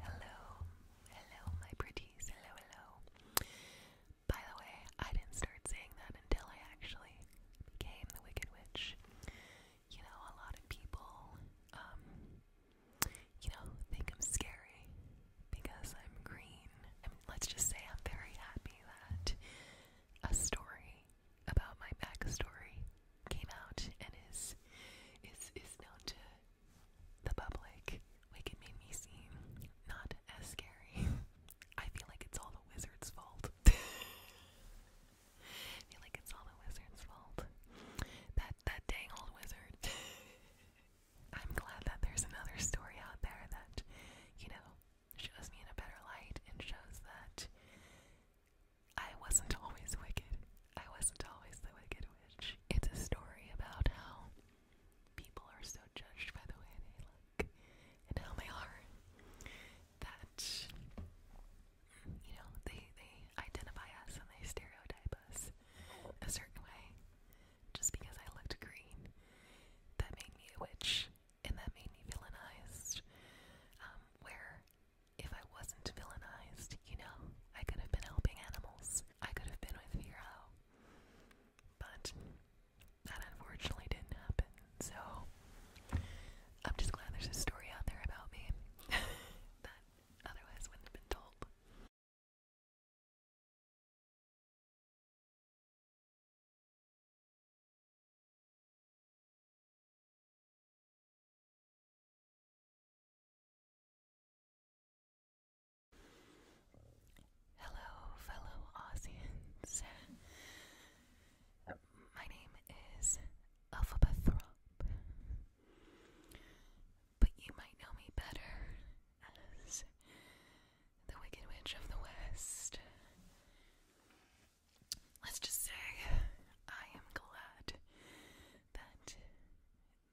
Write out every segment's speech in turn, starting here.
Hello, hello, my pretties. Hello, hello. By the way, I didn't start saying that until I actually became the Wicked Witch. You know, a lot of people, um, you know, think I'm scary because I'm green. I let's just say I'm very happy that a story about my backstory came out and is is is known to the public, like made me seem not as scary. I feel like it's all the wizard's fault. feel like it's all the wizard's fault. That that dang old wizard. I'm glad that there's another story out there that, you know, shows me in a better light and shows that I wasn't always wicked. I wasn't always the Wicked Witch. It's a story about how people are so judged by the way they look and how they are that you know they they identify us and they stereotype us a certain way just because I looked green. That made me a witch and that made me villainized. Um, where if I wasn't villainized, you know, I could have been helping animals. I could have been with Vero. But that unfortunately didn't happen, so I'm just glad there's a story out there about me that otherwise wouldn't have been told. Hello, fellow Aussians. My name is Alphabethrop, but you might know me better as the Wicked Witch of the West. Let's just say I am glad that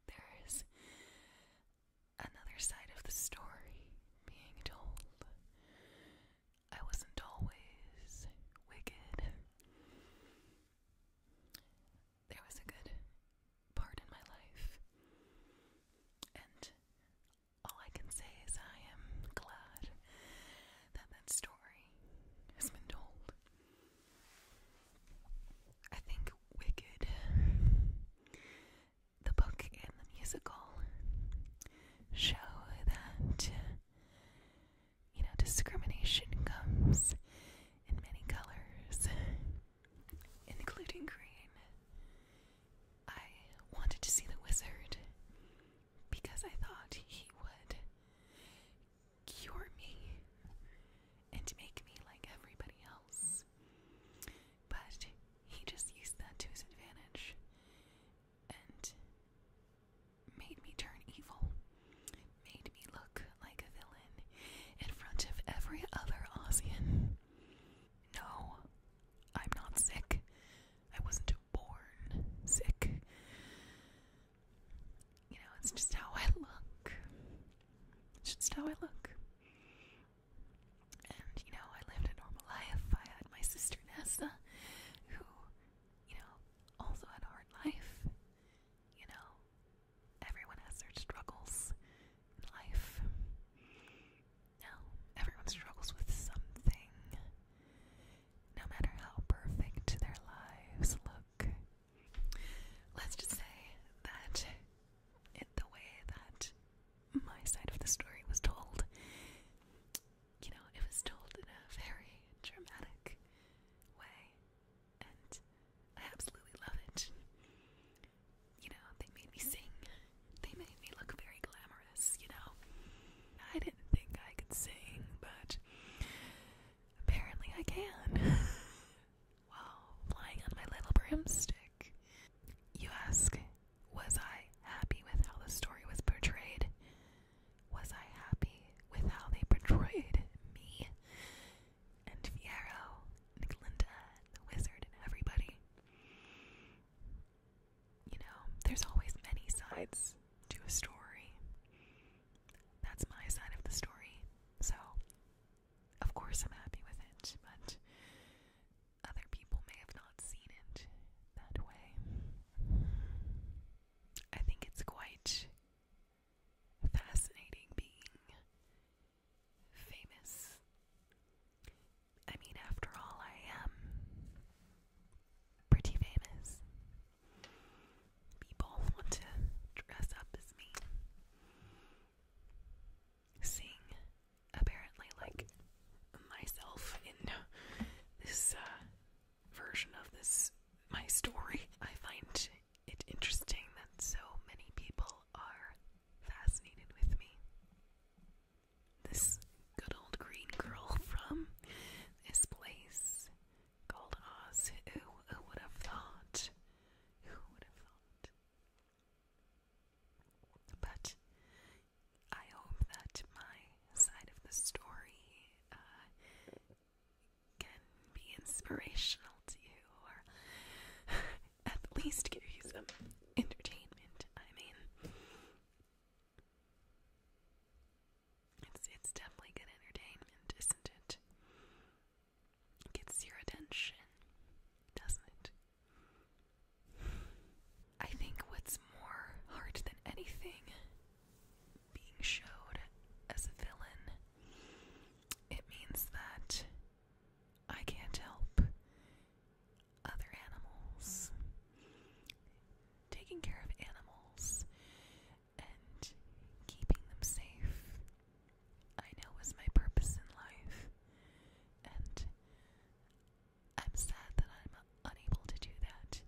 there is another side of the story being told. I wasn't always wicked. There was a good part in my life, and all I can say is I am glad that that story has been told. I think Wicked, the book and the musical, show that you know discrimination comes in many colors, including green. I wanted to see the wizard because I thought he would cure me and make me like everybody else. But he just used that to his advantage and made me turn evil, made me look like a villain in front of every other Aussian. No, I'm not sick. I wasn't born sick. You know, it's just how I look. It's just how I look. And, you know, I lived a normal life. I had my sister NASA, who, you know, also had a hard life. You know, everyone has their struggles in life. No, everyone struggles with something. No matter how perfect their lives look, Let's just say that it, the way that my side of the story was told, you know, it was told in a very dramatic way, and I absolutely love it. You know, they made me sing, they made me look very glamorous, you know. I didn't think I could sing, but Apparently I can. wow, flying on my little broomstick. You ask, was I happy with how the story was portrayed? Was I happy with how they portrayed me? And Fiero, and the wizard, and everybody. You know, there's always many sides to a story. That's my side of the story. So, of course, I'm happy with it, but other people may have not seen it that way. I think it's quite fascinating being famous. I mean, after all, I am pretty famous people want to dress up as me. Seeing apparently like myself in this uh, version of this my story, I find it interesting that so many people are fascinated with me. This good old green girl from this place called Oz. Who, would have thought? Who would have thought? But I hope that my side of the story uh, can be inspirational to you, or at least give you some entertainment. I mean, it's it's definitely good entertainment, isn't it? it gets your attention, doesn't it? I think what's more hard than anything being showed as a villain it means that I can't help other animals. Taking care of animals and keeping them safe, I know is my purpose in life. And I'm sad that I'm unable to do that.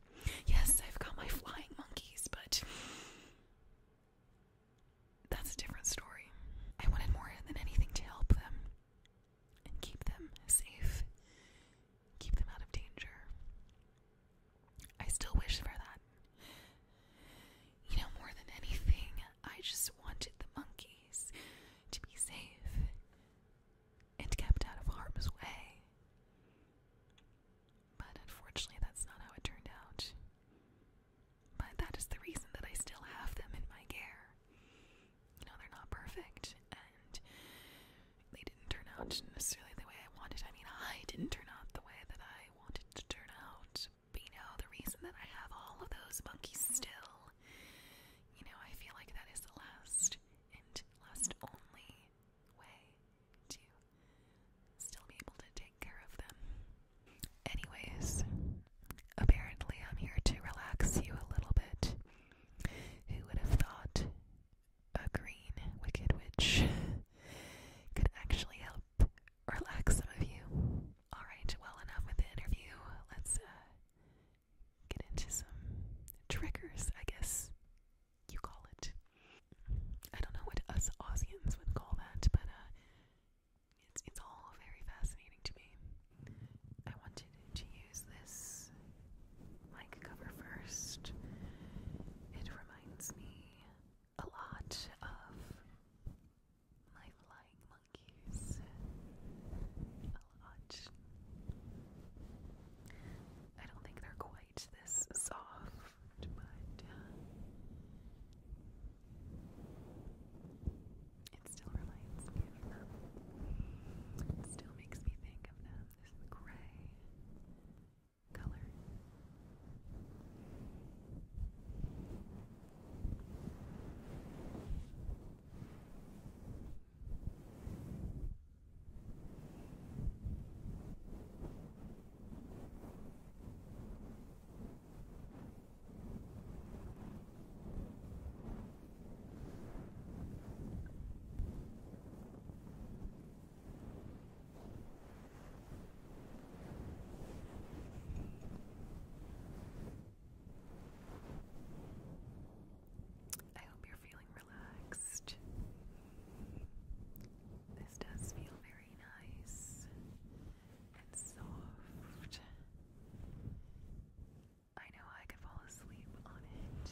Yes, I've got my flying monkeys, but that's a different story. I wanted more than anything to help them and keep them safe, keep them out of danger. I still wish for that. You know, more than anything, I just wanted the monkeys to be safe and kept out of harm's way. But unfortunately, that's not how it turned out. But that is the reason that I still have them in my care. You know, they're not perfect, they didn't turn out necessarily the way I wanted. I mean, I didn't turn out the way that I wanted to turn out. But you know, the reason that I have all of those monkeys still, you know, I feel like that is the last and last only way to still be able to take care of them. Anyways, apparently I'm here to relax you a little bit. Who would have thought a green Wicked Witch could actually help relax some of you. Alright, well, enough with the interview. Let's uh, get into some triggers, I guess you call it. I don't know what us Aussians would call that, but uh, it's, it's all very fascinating to me. I wanted to use this mic cover first. It reminds reminds me a lot of my flying monkeys. A lot. I don't think they're quite this soft, but uh, it still reminds me of them. still makes me think of them. This gray color. Now I hope you're feeling relaxed. This does feel very nice and soft. I know I could fall asleep on it.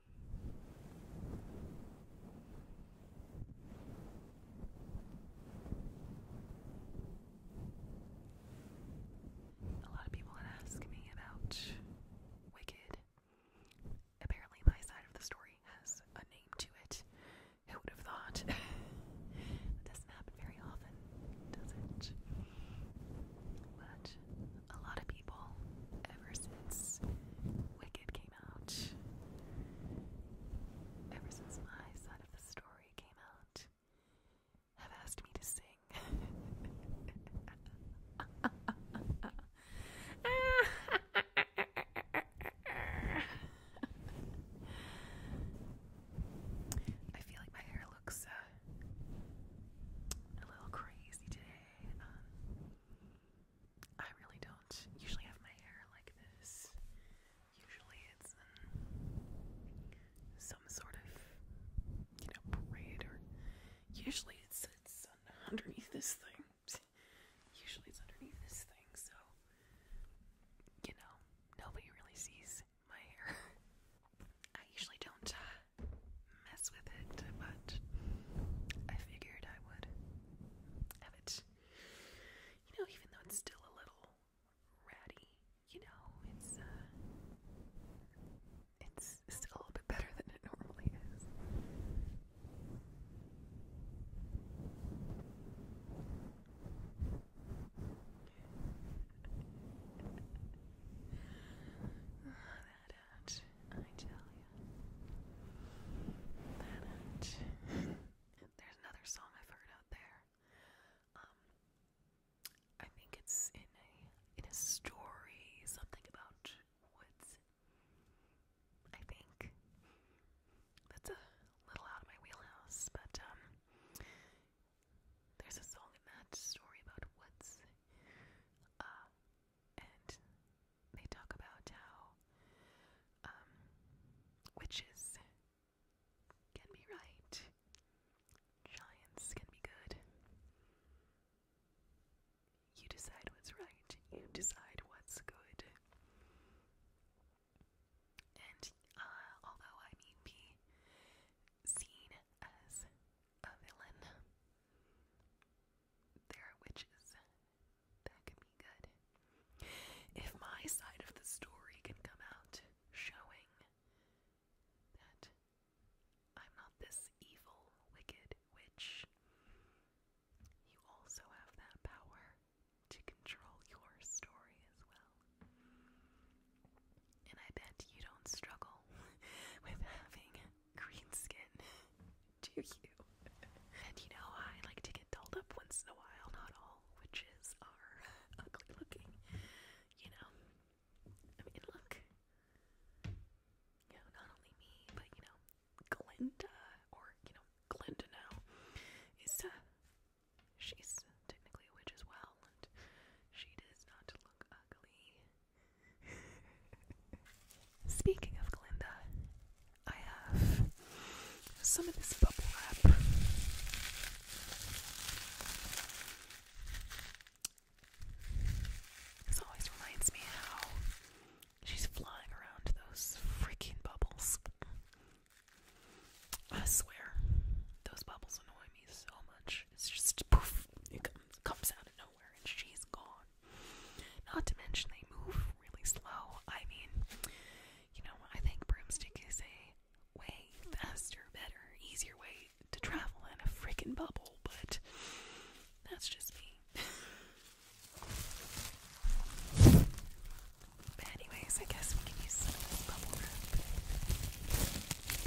A lot of people had asked me about Wicked. Apparently, my side of the story has a name to it. Who would have thought? that doesn't happen very often, does it? But a lot of people ever since Wicked came out. Ever since my side of the story came out, have asked me to sing. I feel like my hair looks uh, a little crazy today. Um, I really don't usually have my hair like this. Usually it's some sort of, you know, braid usually it sits underneath this thing. Usually it's underneath this thing, so you know, nobody really sees my hair. I usually don't uh, mess with it, but I figured I would have it. You know, even though it's still a little ratty, you know, it's uh, it's still a little bit better than it normally is. that out, I tell you. That out. There's another song I've heard out there. Um, I think it's in a in a story, something about woods. I think that's a little out of my wheelhouse, but um, there's a song in that story about woods. Uh, and they talk about how um, witches can be right, giants can be good. You decide what's right, you decide what's good. And uh, although I may be seen as a villain. There are witches. That could be good. If my side of the story can come out showing that I'm not this evil, wicked witch, you also have that power to control your story as well. And I bet you don't struggle with having green skin do you. and you know, I like to get dolled up once in a while, not all witches are ugly looking, you know. I mean, look, you know, not only me, but you know, Glinda, or you know, Glinda now is, uh, she's technically a witch as well, and she does not look ugly Speaking of Glinda, I have some of this bubble wrap. This always reminds me how she's flying around those freaking bubbles. I swear, those bubbles annoy me so much. It's just poof, you come comes out of nowhere and she's gone. Not to mention they move really slow. I mean, you know, I think broomstick is a way faster, better, easier way to travel in a freaking bubble, but that's just me. But anyways, I guess we can use some bubble wrap.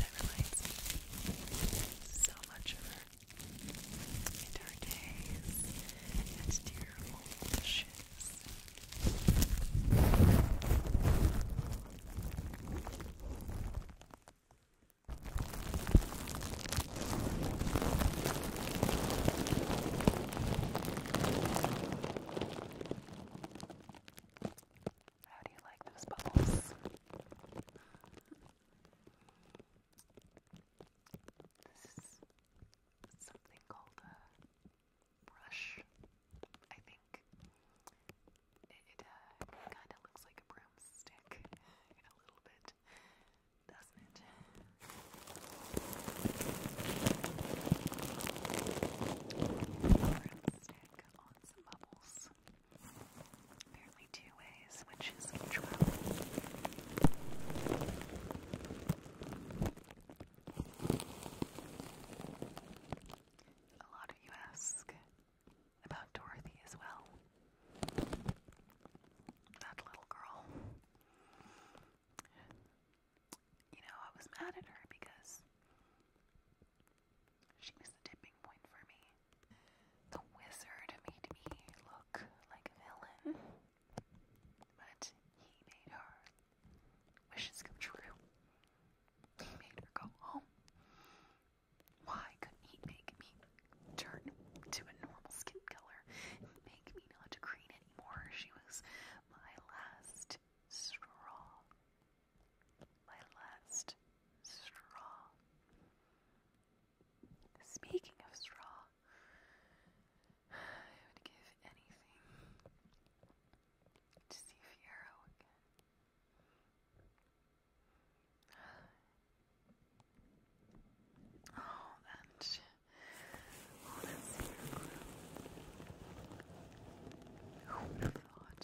That reminds So so much of her in days and dear wishes. How do you like those bubbles? This is something called a brush, I think. It, uh, kind of looks like a broomstick a little bit, doesn't it? broomstick on some bubbles. Apparently two ways, which is each well. A lot of you ask about Dorothy as well. That little girl. You know, I was mad at her because she was the tipping point for me. The wizard made me look like a villain, hmm. but he made her wishes come true. He made her go home. Why couldn't he make me turn to a normal skin color and make me not green anymore? She was my last straw my last straw. Speaking of straw, I would give anything to see Fiero again. Oh, that's so cool. Who would have thought?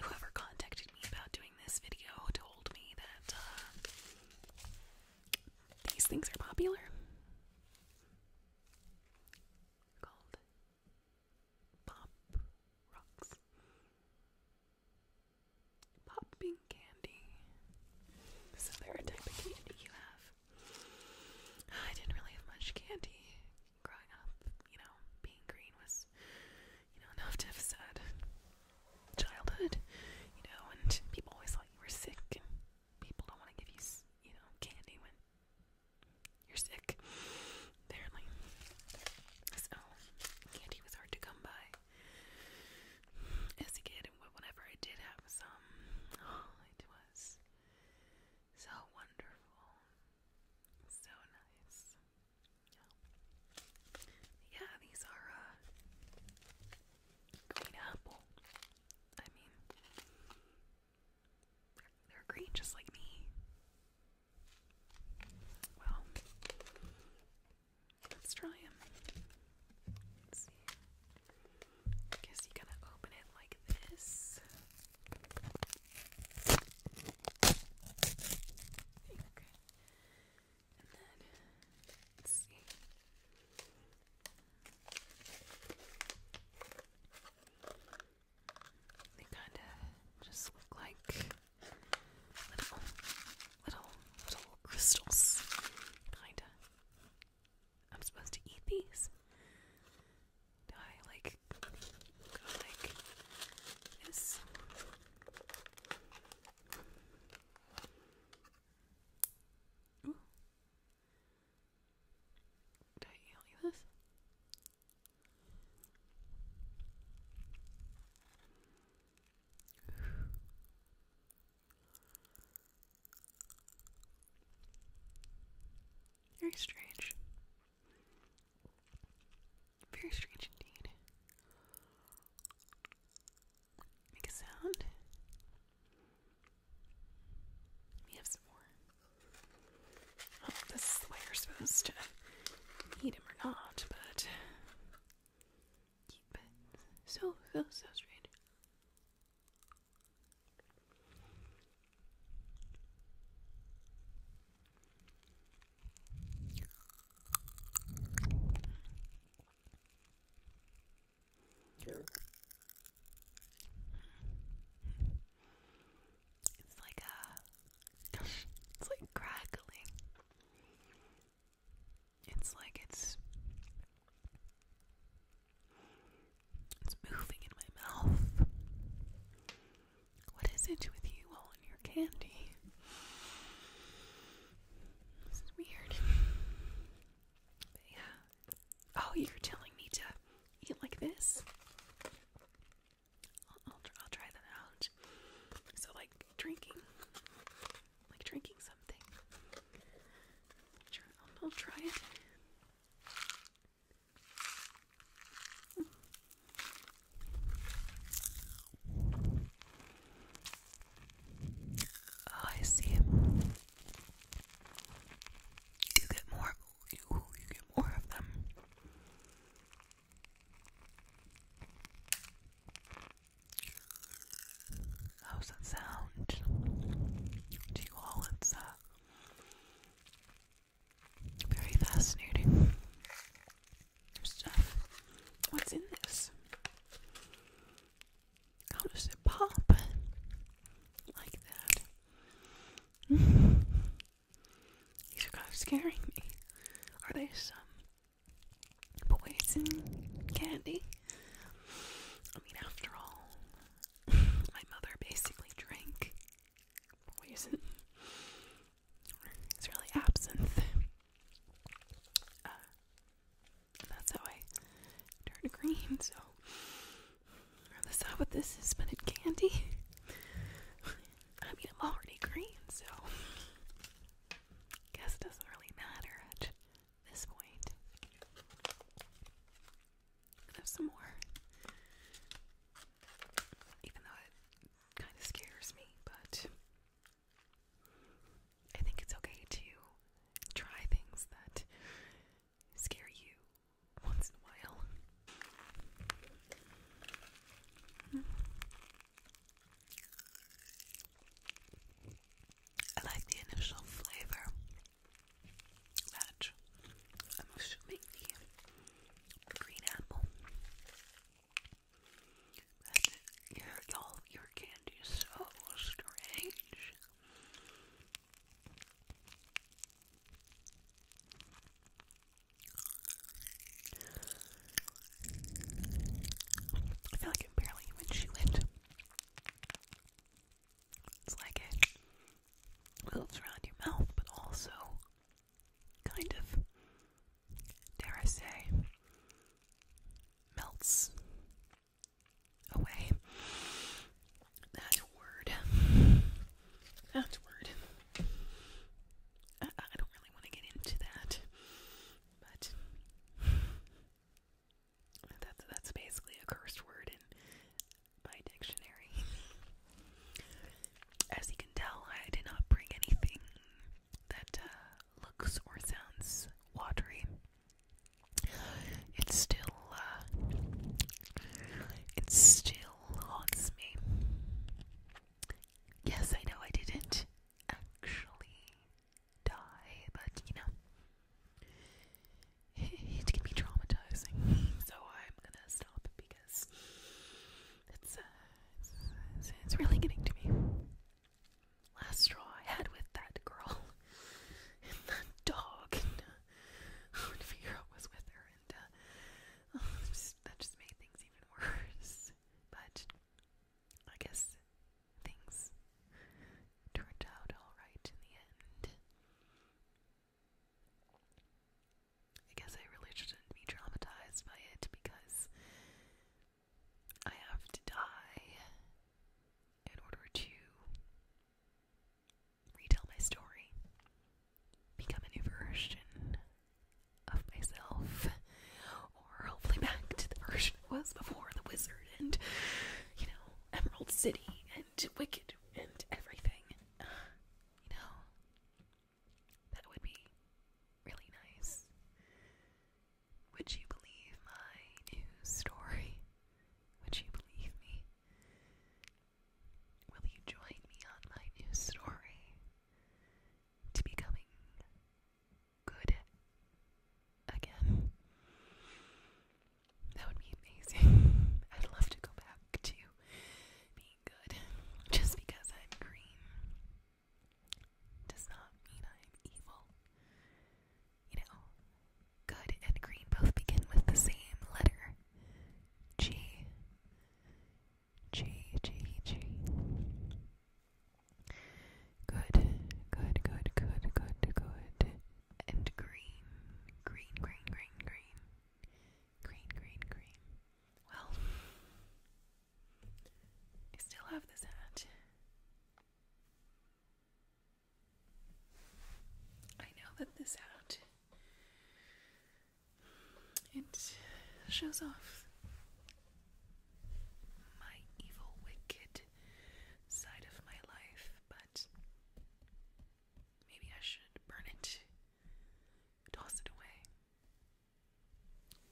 Whoever contacted me about doing this video told me that uh, these things are popular. Called Pop rocks. Popping candy. Is there type of candy you have? I didn't really have much candy growing up. You know, being green was, you know, enough to have said childhood. You know, and people always thought you were sick, and people don't want to give you, you know, candy you're sick, apparently. So, candy was hard to come by as a kid, and whenever I did have some, it was so wonderful, so nice. Yeah, these are uh, green apple. I mean, they're, green just like me. Well, let's try them. see. I guess you gotta open it like this. And then, let's see. They kind of just look like little, little, little crystals. Kinda. I'm supposed to eat these? I like go like this? Do you like this? Very strange. Very strange indeed. Make a sound. We have some more. Oh, this is the way you're supposed to eat him or not, but so, so, so straight. It's like a it's like crackling. It's like it's it's moving in my mouth. What is it with you all in your candy? This is weird. yeah, Oh, you're telling me to eat like this? I'll, try that out. So, like drinking, like drinking something. I'll, try it. Oh, I see. You get more you, get more of them. How's that sound? Do you all? It's uh, very fascinating stuff. What's in this? How does it pop like that? These are kind of scaring me. Are they some poison candy? I mean, after all, my mother basically drank poison. It's really absinthe. Uh, that's how I turned green, so that's not what this is, but candy. I mean, I'm already green, so guess it doesn't really matter at this point. have some more, even though it kind of scares me, but I think it's okay to try things that scare you once in a while. I like the initial flavor that I'm assuming the green apple. But your, all your candy is so strange. I feel like it barely even she It's like it moves around your mouth, but also kind of, dare I say, melts away. That's word. That's word. I, don't really want to get into that, but that's that's basically a cursed word in my dictionary. As you can tell, I did not bring anything that uh, looks or sounds watery it still, uh, it still haunts me. Yes, I know I didn't actually die, but you know, it, it can be traumatizing. So I'm gonna stop because uh, it's, it's, really getting to me. Last straw I had with that girl and that dog when Figaro was with her, and uh, oh, that just made things even worse. But I guess things turned out alright in the end. I guess I really shouldn't be traumatized by it because I have to die in order to retell my story, become a new version of myself, or hopefully back to the version I was before the wizard and, you know, Emerald City and Wicked and everything. you know, that would be really nice. Would you believe my new story? Would you believe me? Will you join me on my new story to becoming good again? That would be amazing. I'd love to go back to being good. Just because I'm green does not mean I'm evil you know, good and green both begin with the same letter. G. G, G, G. Good, good, good, good, good, good. And green, green, green, green, green. Green, green, green. Well, I still have this hat. I now let this out. It shows off my evil, wicked side of my life, but maybe I should burn it, toss it away.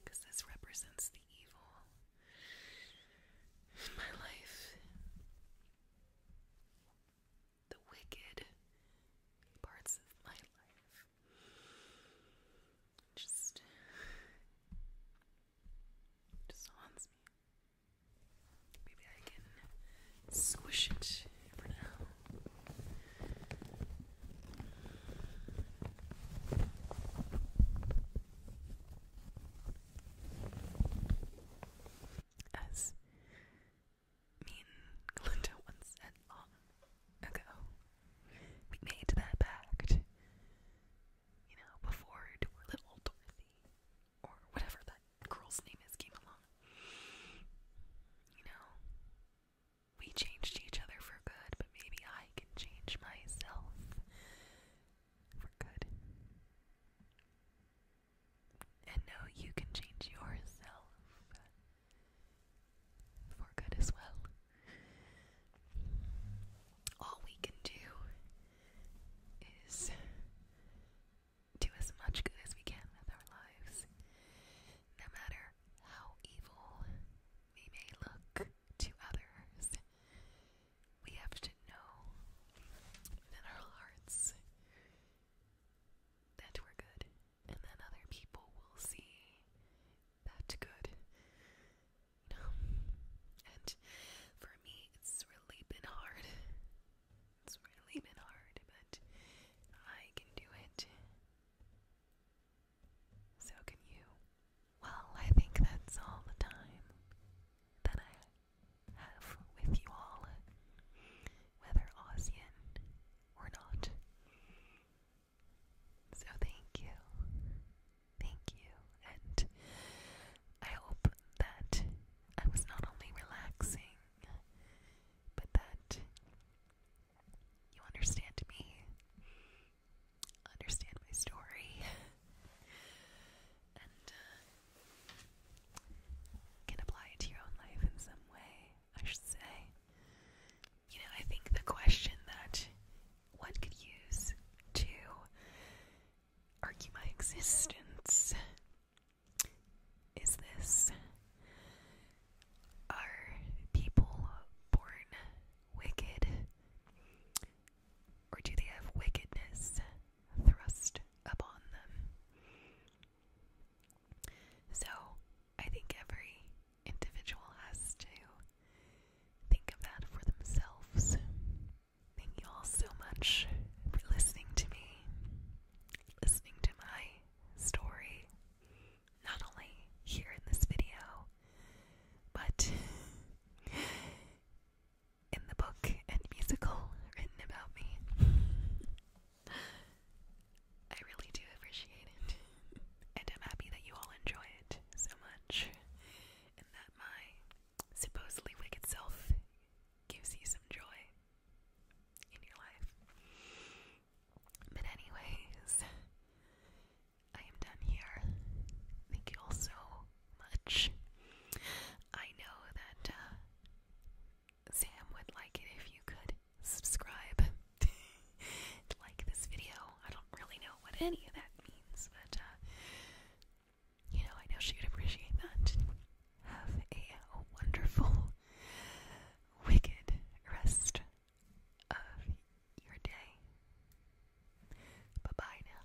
Because this represents the evil in my life the wicked parts of my life. Just, just haunts me. Maybe I can squish it for now as mean Glinda once said long ago. We made that pact, you know, before little Dorothy or whatever that girl's name is came along. You know, we changed each other for good, but maybe I can change myself for good. And know you can change yourself for good as well. All we can do is do as much good as we can with our lives, no matter how evil we may look to others we have to know in our hearts that we're good, and then other people will see that good. You And for me, it's really been hard. It's really been hard, but I can do it. So can you. Well, I think that's all the time that I have with you all, whether Aussian or not. So thank you. Thank you. And I hope that I was not only relaxing, but that you understand me, understand my story, and uh, can apply it to your own life in some way, I should say. You know, I think the question that one could use to argue my existence is this Are people born wicked? Or do they have wickedness thrust upon them? So I think every individual has to think of that for themselves. Thank you all so much for listening to me, listening to my story, not only here in this video, but in the book and musical written about me. I really do appreciate it, and I'm happy that you all enjoy it so much, and that my supposedly wicked self gives you some joy in your life. But, anyways, I am done here. Thank you all so much. I know that uh, Sam would like it if you could subscribe, like this video. I don't really know what any of that means, but uh, you know, I know she would appreciate that. Have a wonderful, wicked rest of your day. Bye bye now.